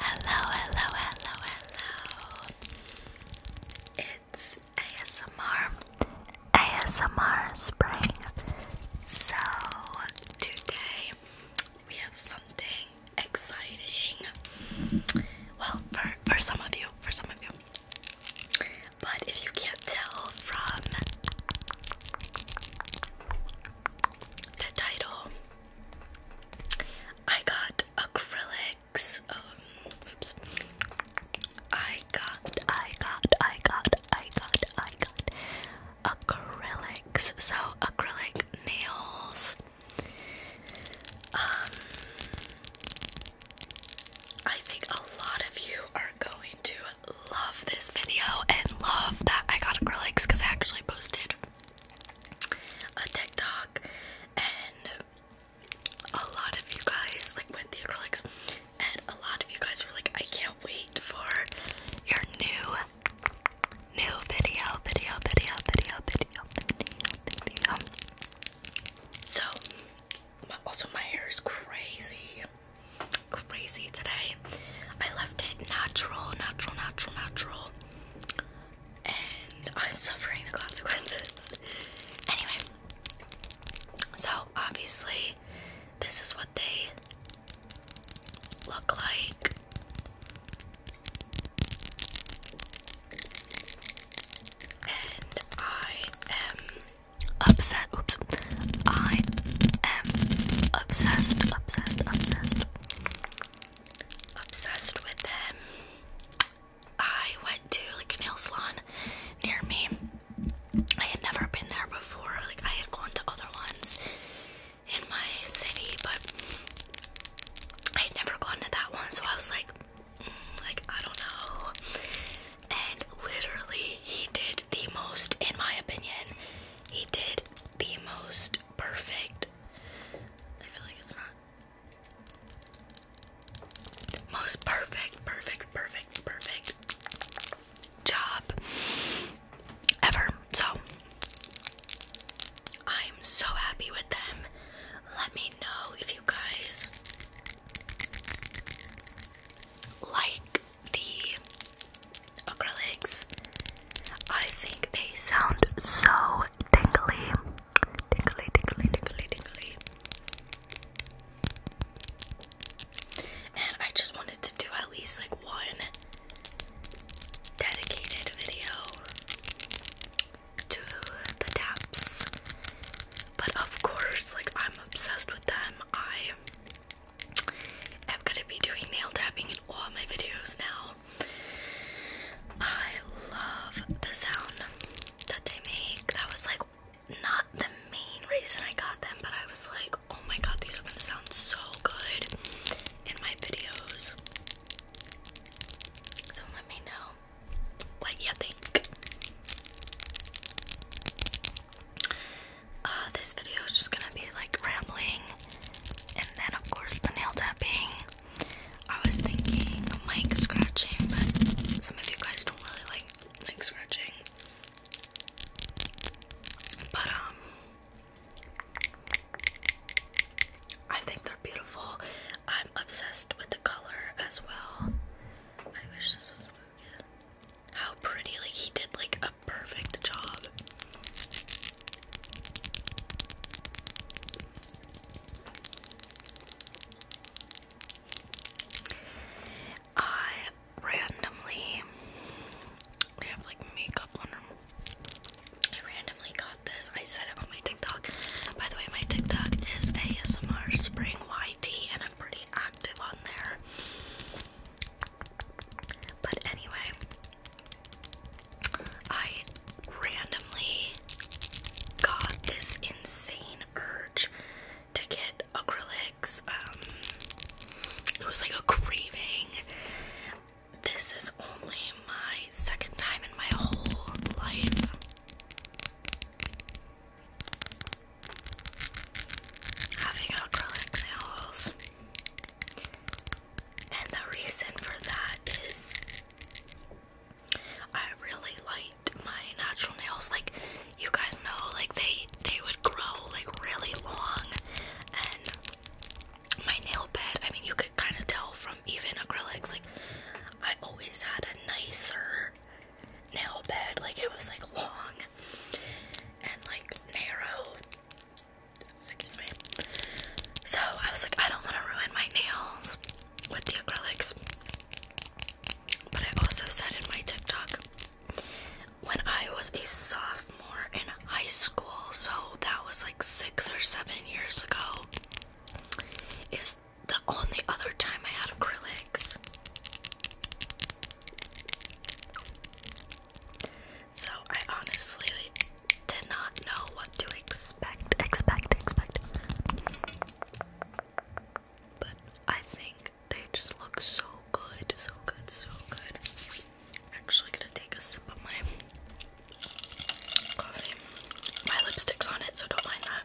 Hello, hello, hello, hello. It's ASMR, ASMR Spring. So, today we have something exciting. Well, for, for some of you, for some of you. But if you can't tell from the title. I got acrylics. Um, oops. I got, I got, I got, I got, I got acrylics. So acrylic nails. Um, I think a lot of you are going to love this video and love that I got acrylics because I actually posted a TikTok and a lot of you guys like with the acrylics and a lot of you guys were like I can't wait for your new new video video video video video video so also my hair is crazy crazy today. I left it natural, natural, natural, natural. And I'm suffering the consequences. Anyway, so obviously, this is what they look like. And I am upset. Oops. I am obsessed, obsessed, obsessed obsessed with them. I went to like a nail salon near me. I had never been there before. Like I had gone to other ones in my city, but I had never gone to that one. So I was like, mm, like I don't know. And literally, he did the most, in my opinion, he did the most perfect. I feel like it's not. Most perfect, perfect, perfect, perfect job ever. So I'm so happy with them. Let me know if you guys like the acrylics. I think they sound so tingly. Tingly, tingly, tingly, tingly. And I just wanted to do at least like one dedicated video to the taps. But of course, like I'm obsessed with them. I I'm gonna be doing nail tapping in all my videos now. I love the sound that they make. That was like not the main reason I got them, but I was like, oh my god, these are gonna sound so good in my videos. So let me know what you think. Ah, this video is just gonna be like rambling, and then of course the nail tapping. I was thinking mic scratching, but some of you guys don't really like mic scratching. But um, I think they're beautiful. I'm obsessed with the color as well. I wish this was. How pretty! Like he did like a perfect job. I randomly I have like makeup on I randomly got this. I said it on my TikTok. By the way, my TikTok is ASMR Spring YT and I'm pretty active on there. But anyway, I randomly got this insane urge to get acrylics. Um, it was like a craving. This is only my second time in my whole life. Having acrylic nails. And the reason for that is I really liked my natural nails. Like you guys know, like they they would grow like really long and my nail bed, I mean you could kind of tell from even acrylics, like I always had a nicer nail bed, like it was like long and like narrow Excuse me. So I was like, I don't want to ruin my nails with the acrylics. But I also said in my TikTok when I was a sophomore in high school, so that was like six or seven years ago, is the only other time I had acrylics. So I honestly did not know what to expect. Expect, expect. But I think they just look so good, so good, so good. actually gonna take a sip of my My lipstick's on it, so don't mind that.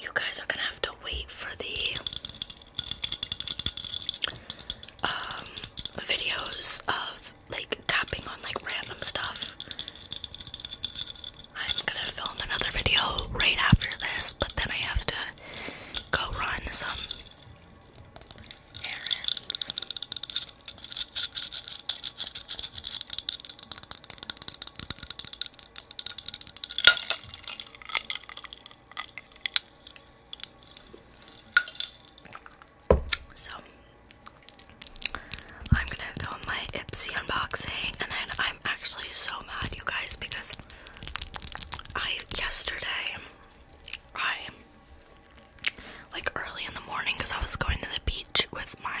You guys are gonna have to wait for the um videos of like tapping on like random stuff. I'm gonna film another video right after this, but then I have to go run some errands. So I'm gonna film my Ipsy unboxing and then I'm actually so mad you guys because I yesterday I like early in the morning because I was going to the beach with my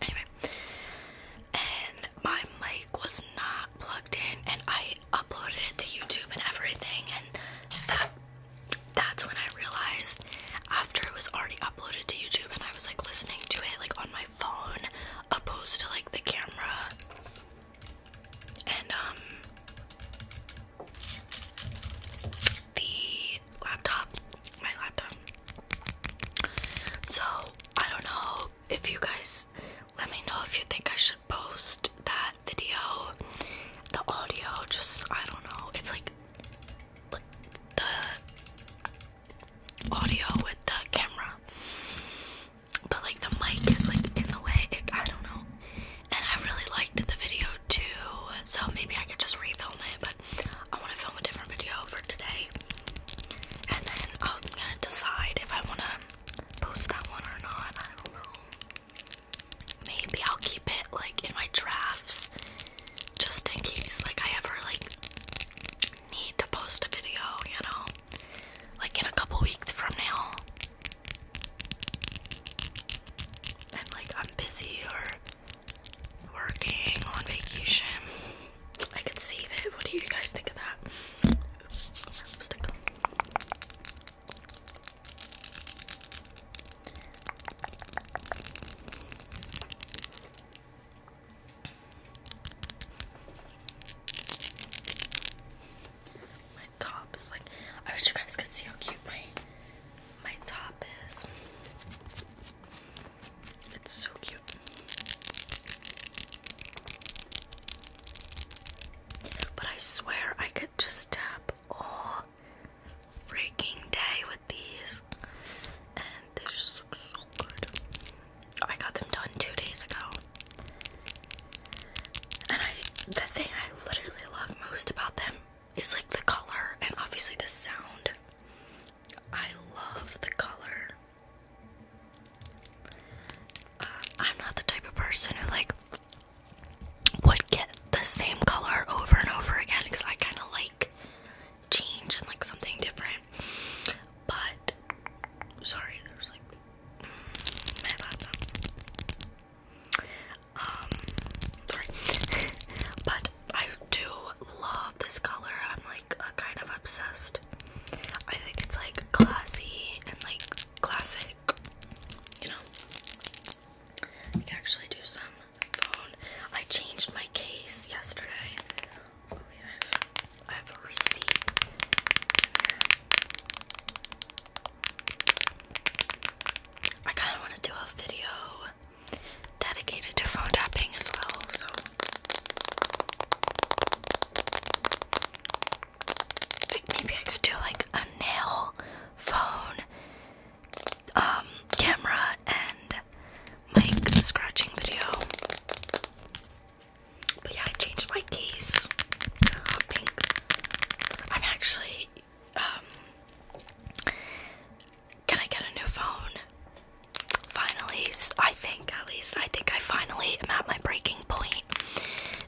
Anyway, and my mic was not plugged in, and I uploaded it to YouTube and everything, and that that's when I realized after it was already uploaded to YouTube and I was like listening to it like on my phone opposed to like the camera. And um the laptop, my laptop so I don't know if you guys let me know if you think I should post that video, the audio, just I don't know. It's like the audio with the camera. But like the mic is like in the way. I don't know. And I really liked the video too. So maybe I could just refilm it, but I want to film a different video for today. And then I'm gonna decide if I wanna post that one or not. Maybe I'll keep it like in my drafts just in case like I ever like need to post a video, you know? Like in a couple weeks from now. And like I'm busy or working on vacation. I can see it. What do you guys think of that? My top is like I wish you guys could see how cute my my top is. It's so cute. But I swear I could just tap all freaking day with these, and they just look so good. Oh, I got them done two days ago. And I, the thing I literally love most about them is like the color and obviously the sound. I love the color uh, I'm not the type of person who like would get the same color over and over again because I kind of like change and like something different. But sorry, there's like Um, sorry, but I do love this color. I'm like uh, kind of obsessed I think it's like classy and like classic, you know. I actually do some phone. I changed my case yesterday. I have a receipt. I kind of want to do a video dedicated to phone tapping as well, so like maybe I could do like a nail phone um camera and like scratching video. But yeah, I changed my keys. I'm actually um can I get a new phone? finally, I think at least, I think I finally am at my breaking point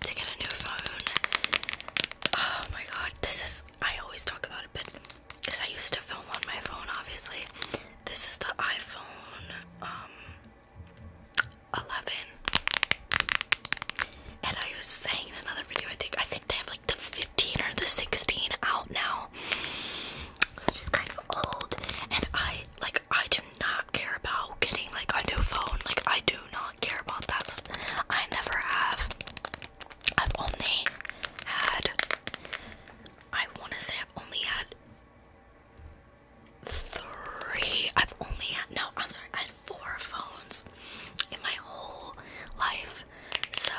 to get a new phone. Oh my god, this is, I always talk about it, because I used to film on my phone, obviously. This is the iPhone um, 11. And I was saying in another video, I think, I think they have like the 15 or the 16 out now. So she's kind of old. And I like I do not care about getting like a new phone. Like I do not care about that. I never have. I've only had I wanna say I've only had three I've only had no, I'm sorry, I had four phones in my whole life. So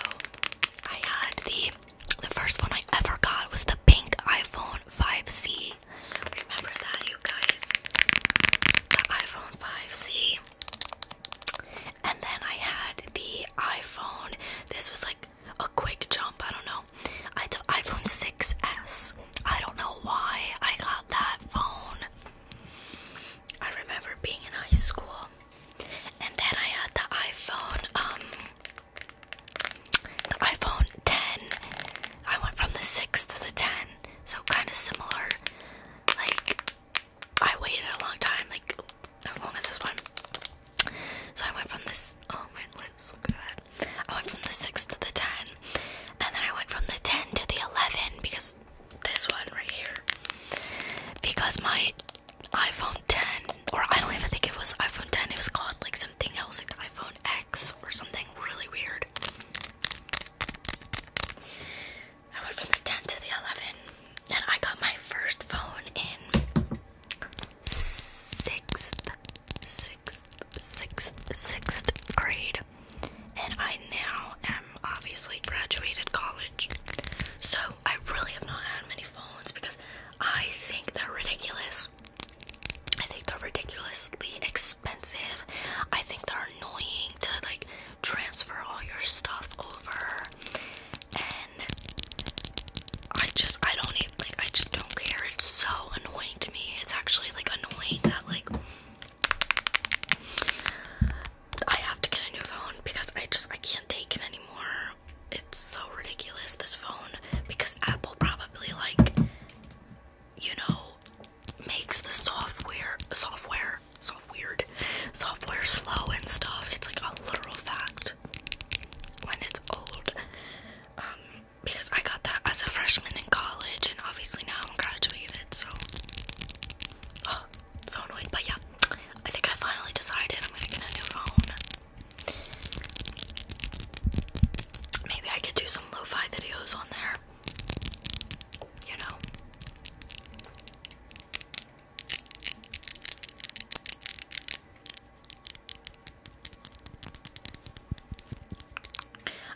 I had the the first one I ever got was the pink iPhone 5C. Remember that, you guys? The iPhone 5C. And then I had the iPhone. This was like a quick jump, I don't know. I had the iPhone 6S. I don't know why I got that phone. I remember being in high school. And then I had the iPhone um iPhone 10. I went from the 6 to the 10, so kind of similar. Like, I waited a long time, like, as long as this one. So I went from this, oh my god! I went from the 6 to the 10, and then I went from the 10 to the 11 because this one right here. Because my iPhone 10, or I don't even think it was iPhone 10, it was called like something else, like the iPhone X or something really weird. I went from the 10 to the 11, and I got my first phone in sixth, sixth, sixth, sixth grade, and I now am obviously graduated college. So I really have not had many phones because I think they're ridiculous. I think they're ridiculously expensive. I think they're annoying to like transfer all your stuff over. And I just I don't even like I just don't care. It's so annoying to me. It's actually like annoying that like I have to get a new phone because I just I can't take it anymore it's so ridiculous this phone because Apple probably like you know makes the software software so software slow and stuff. It's like a literal fact when it's old. Um because I got that as a freshman in college and obviously now I'm graduated so oh so annoyed. but yeah I think I finally decided I'm gonna get a new phone. Maybe I could do some lo fi videos on there. You know?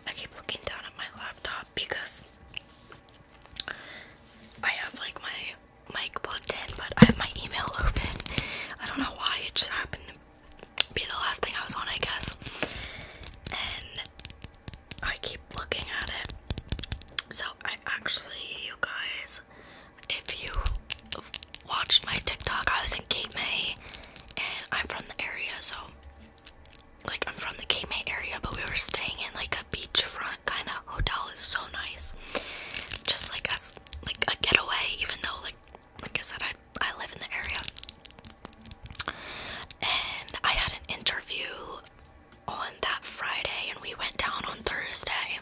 I keep looking down at my laptop because I have like my mic plugged in, but I have my email open. I don't know why, it just happened be the last thing I was on, I guess. And I keep looking at it. So, I actually, you guys, if you watched my TikTok, I was in Cape May and I'm from the area, so like I'm from the Cape May area, but we were staying in like a beachfront kind of hotel. It's so nice, just like us, like a getaway, even though like like I said, I I live in the area, and I had an interview on that Friday, and we went down on Thursday.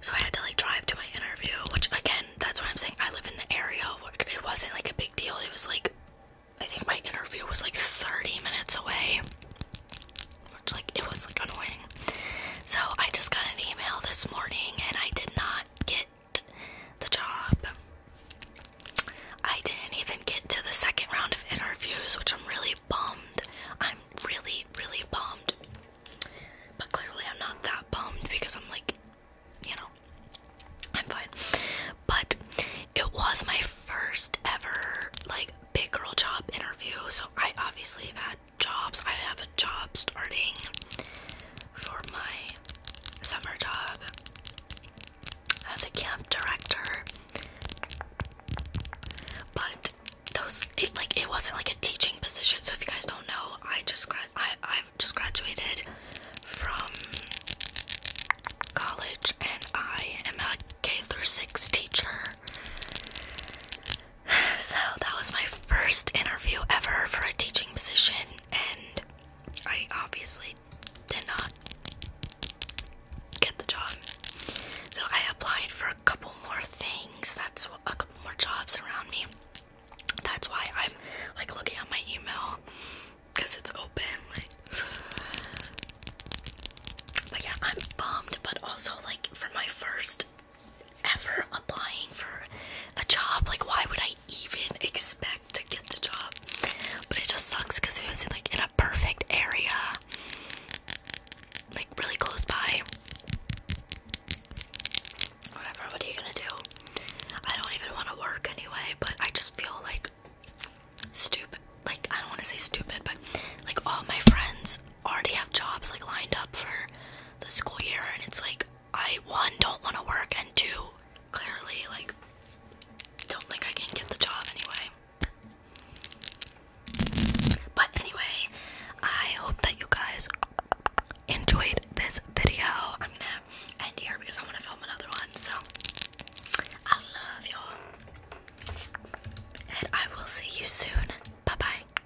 So I had to like drive to my interview, which again, that's why I'm saying. I live in the area. It wasn't like a big deal. It was like I think my interview was like 30 minutes away, which like it was like annoying. So I just got an email this morning and I did not get the job. I didn't even get to the second round of interviews, which I'm really bummed. I'm really, really bummed. But clearly, I'm not that bummed because I'm like, you know, I'm fine. But it was my first ever, like, big girl job interview, so I obviously have had jobs. I have a job starting for my summer job as a camp director. But those it like it wasn't like a teaching position. So if you guys don't know, I just grad I I just graduated from college and I am a K through 6 teacher. So that was my first interview ever for a teaching position, and I obviously did not get the job. So I applied for a couple more things. That's a couple more jobs around me. That's why I'm like looking at my email because it's open. Like, but yeah, I'm bummed, but also like for my first ever applying for a job. Like, why would I even expect to get the job? But it just sucks because it was in, like in a perfect area, like really close by. Whatever. What are you gonna do? I don't even want to work anyway. But I just feel like stupid. Like I don't want to say stupid, but like all my friends already have jobs like lined up for the school year and it's like I one don't want to work and two clearly like don't think I can get the job anyway. But anyway, I hope that you guys enjoyed this video. I'm gonna end here because I want to film another one. So I love y'all, and I will see you soon. Bye bye.